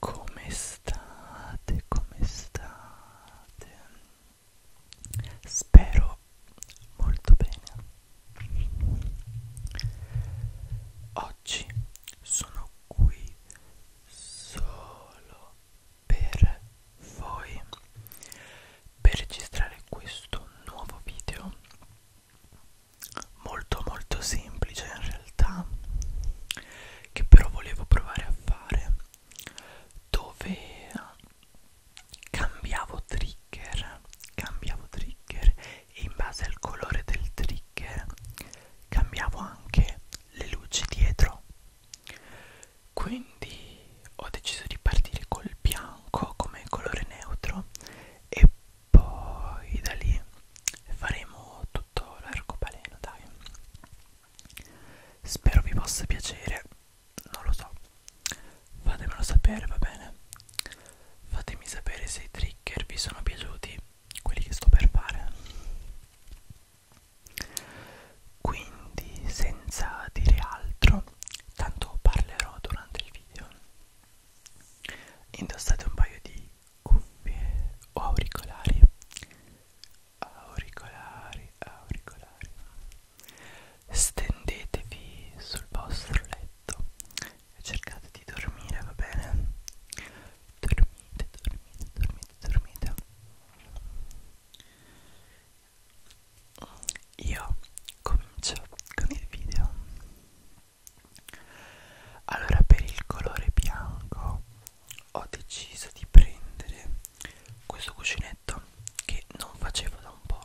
Come state? Come state? Spero molto bene. Oggi sono qui solo per voi per registrare questo nuovo video molto molto semplice in realtà che però volevo provare a fare dove cambiavo trigger cambiavo trigger e in base al colore del trigger cambiavo anche le luci dietro quindi ho deciso di partire col bianco come colore neutro e poi da lì faremo tutto l'arcobaleno dai Spero vi possa piacere, non lo so. Fatemelo sapere, va bene? Fatemi sapere se i trigger vi sono piaciuti, quelli che sto per fare. Quindi, senza dire altro, tanto parlerò durante il video. Indossate un paio di cuffie o auricolari auricolari, auricolari. Stendetevi sul vostro letto e cercate di dormire, va bene? Dormite, dormite, dormite, dormite. Io comincio con il video. Allora, per il colore bianco ho deciso di prendere questo cuscinetto che non facevo da un po'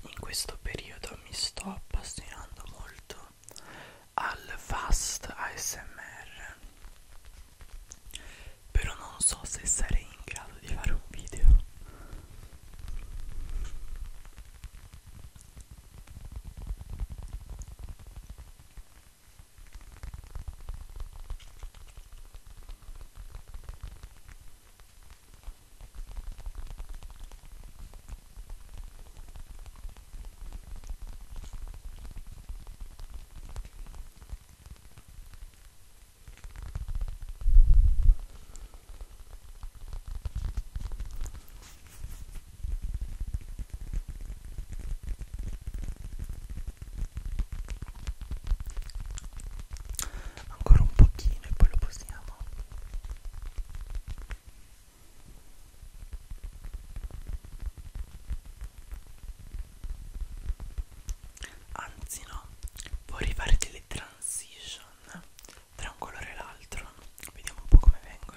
In questo periodo mi sto appassionando molto al fast ASMR però non so se sarei in grado di fare un video Ancora un pochino e poi lo postiamo. Anzi no, vorrei fare delle transition tra un colore e l'altro. Vediamo un po' come vengono.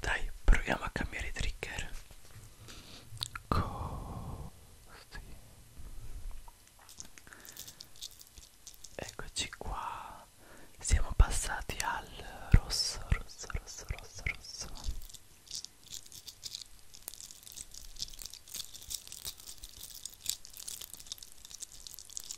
Dai, proviamo a cambiare i trigger. Così. Eccoci qua. Siamo passati al rosso, rosso, rosso, rosso, rosso.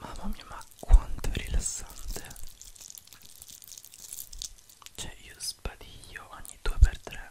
Mamma mia, ma quanto è rilassante! Cioè, io sbadiglio ogni 2x3.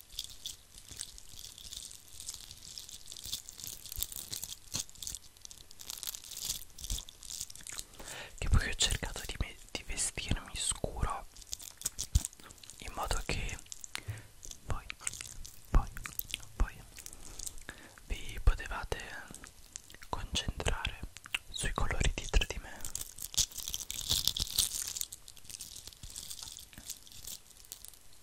che poi ho cercato di, di vestirmi scuro in modo che poi, poi, poi vi potevate concentrare sui colori dietro di me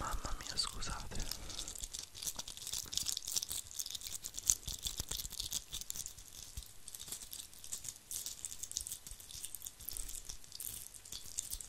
Mamma mia, scusate.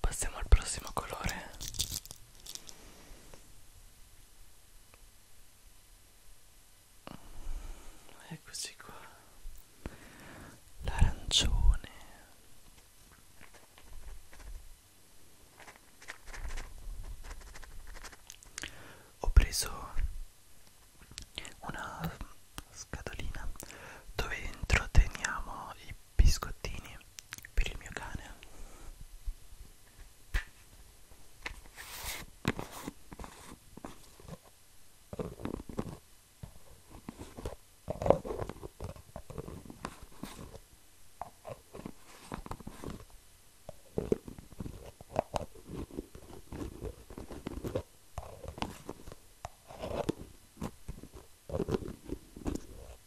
Passiamo al prossimo colore. Eccoci qua. L'arancione. Ho preso una scatolina dove dentro teniamo i biscottini per il mio cane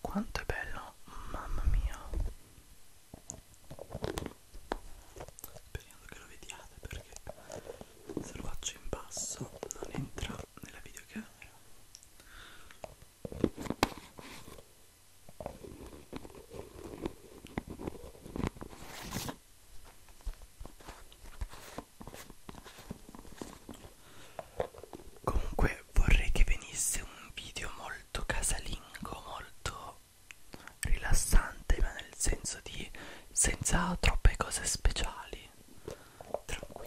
Quanto è bello, mamma mia. Speriamo che lo vediate perché se lo faccio in basso non entra nella videocamera. Comunque vorrei che venisse un video molto molto casalingo, molto rilassante, ma nel senso di senza troppe cose speciali, tranquillo.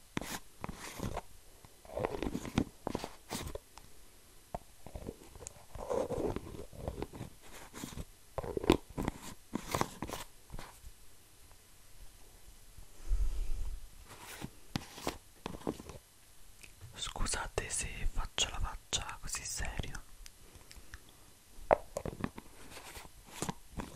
Scusate se faccio la faccia così seria.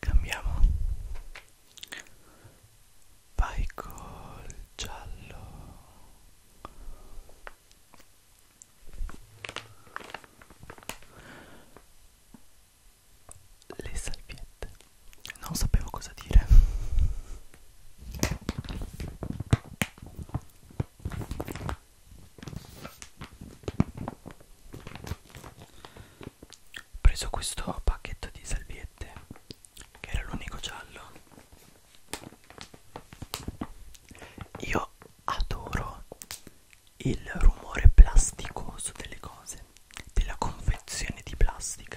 cambiamo vai col giallo le salviette non sapevo cosa dire ho preso questo pacchetto di salviette che era l'unico giallo io adoro il rumore plasticoso delle cose della confezione di plastica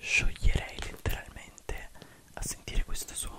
scioglierei letteralmente a sentire questo suono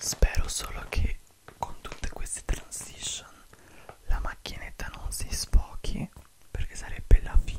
Spero solo che con tutte queste transition la macchinetta non si sfochi perché sarebbe la fine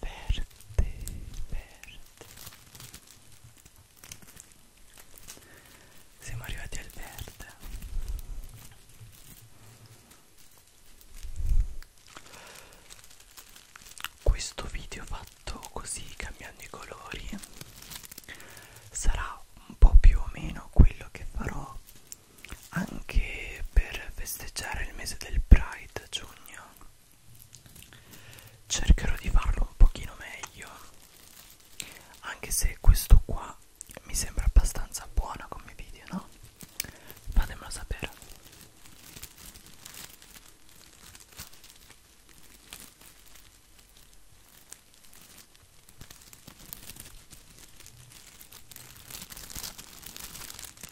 verde, verde. Siamo arrivati al verde. Questo video fatto così cambiando i colori sarà un po' più o meno quello che farò anche per festeggiare il mese del Pride giugno cercherò di farlo un pochino meglio anche se questo qua mi sembra abbastanza buono come video no? fatemelo sapere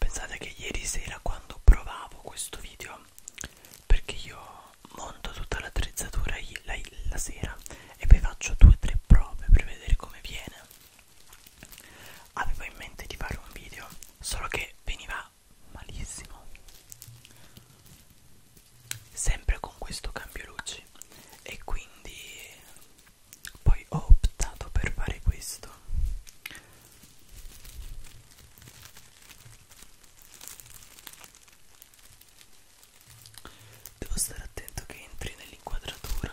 Pensate che ieri sera quando provavo questo video, perché io monto tutta l'attrezzatura la, la sera e poi faccio due o tre prove per vedere come viene avevo in mente di fare un video solo che veniva malissimo sempre con questo cambio luci e quindi poi ho optato per fare questo devo stare attento che entri nell'inquadratura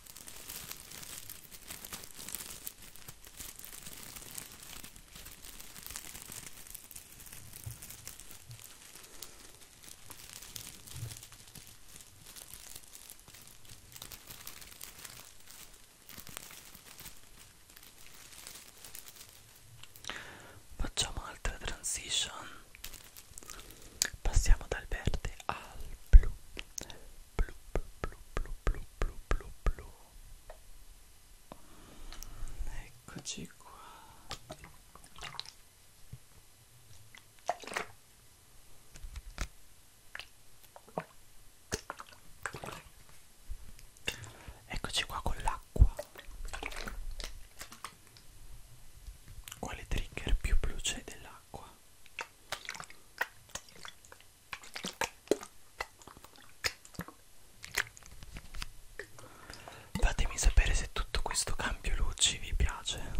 Facciamo altre transition Passiamo dal verde al blu. Blu, blu, blu, blu, blu, blu, blu, blu. Eccoci qua. Eccoci qua con l'acqua. Quale trigger più blu c'è dell'acqua? Fatemi sapere se tutto questo cambio luci vi piace.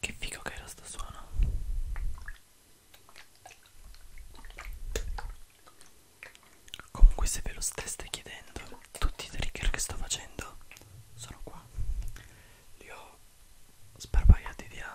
Che figo che era sto suono Comunque se ve lo steste chiedendo Tutti i trigger che sto facendo Sono qua Li ho sparpagliati via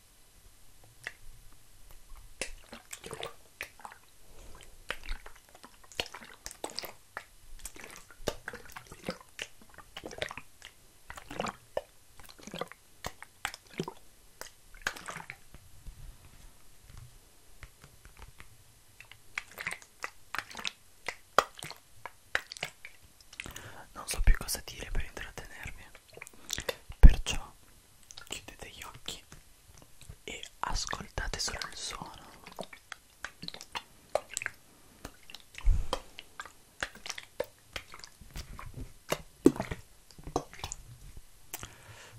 Non so più cosa dire per intrattenervi, perciò chiudete gli occhi e ascoltate solo il suono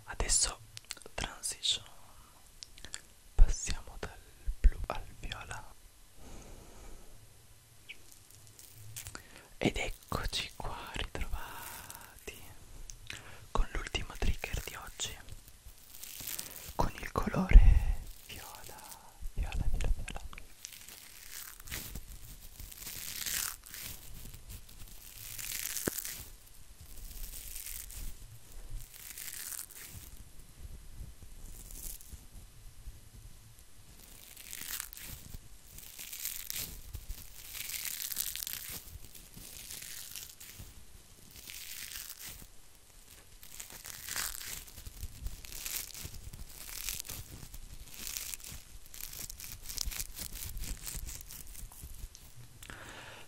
adesso transition passiamo dal blu al viola ed è ecco Eccoci qua ritrovati con l'ultimo trigger di oggi con il colore viola, viola, viola, viola.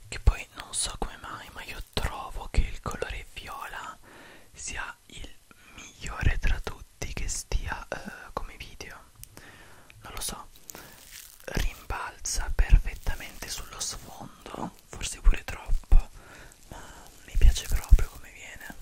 Che poi non so come mai, ma io trovo che il colore viola sia il migliore tra tutti che stia eh, come video non lo so rimbalza perfettamente sullo sfondo forse pure troppo ma mi piace proprio come viene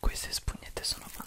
queste spugnette sono fantastiche.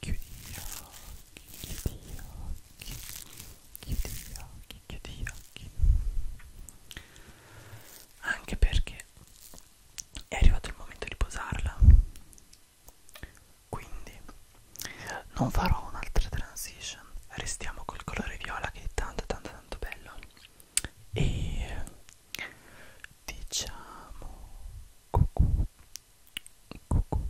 chiudi gli occhi, chiudi gli occhi, chiudi gli occhi, chiudi gli occhi anche perché è arrivato il momento di posarla quindi non farò un'altra transition restiamo col colore viola che è tanto tanto tanto bello e diciamo cucù, cucù.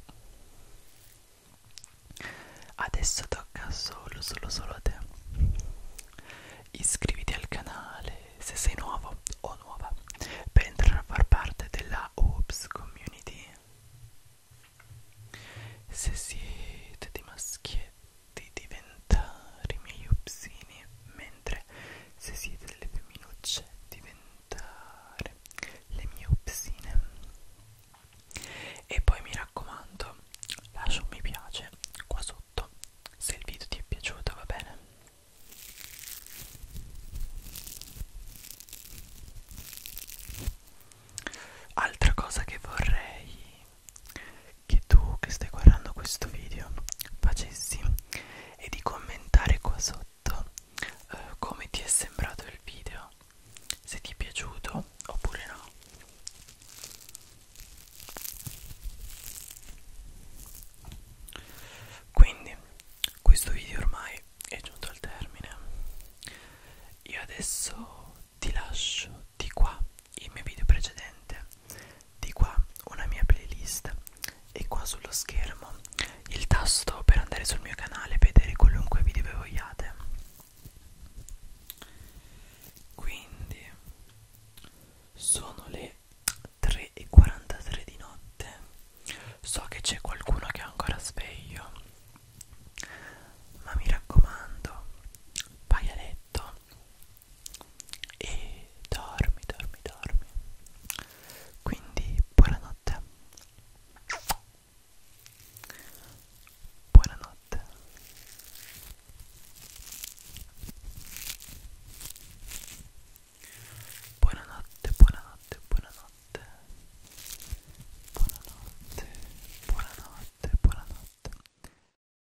adesso tocca solo solo solo a te iscriviti al canale se sei nuovo o nuova per entrare a far parte della Oops community se siete di maschietto di diventare i miei upsini mentre se siete delle femminucce diventare le mie upsine e poi mi raccomando lascia un mi piace qua sotto se il video ti è piaciuto va bene altra cosa che vorrei che tu che stai guardando questo video facessi e di commentare qua sotto eh, come ti è sembrato il video se ti è piaciuto oppure no quindi questo video ormai è giunto al termine io adesso ti lascio di qua i miei video precedenti di qua una mia playlist e qua sullo schermo il tasto per andare sul mio canale e vedere qualunque video che vogliate quindi sono le 3.43 di notte so che c'è qualcuno che è ancora sveglio ma mi raccomando vai a letto e dormi, dormi, dormi. Quindi buonanotte. Buonanotte. Buonanotte, buonanotte, buonanotte. Buonanotte, buonanotte, buonanotte.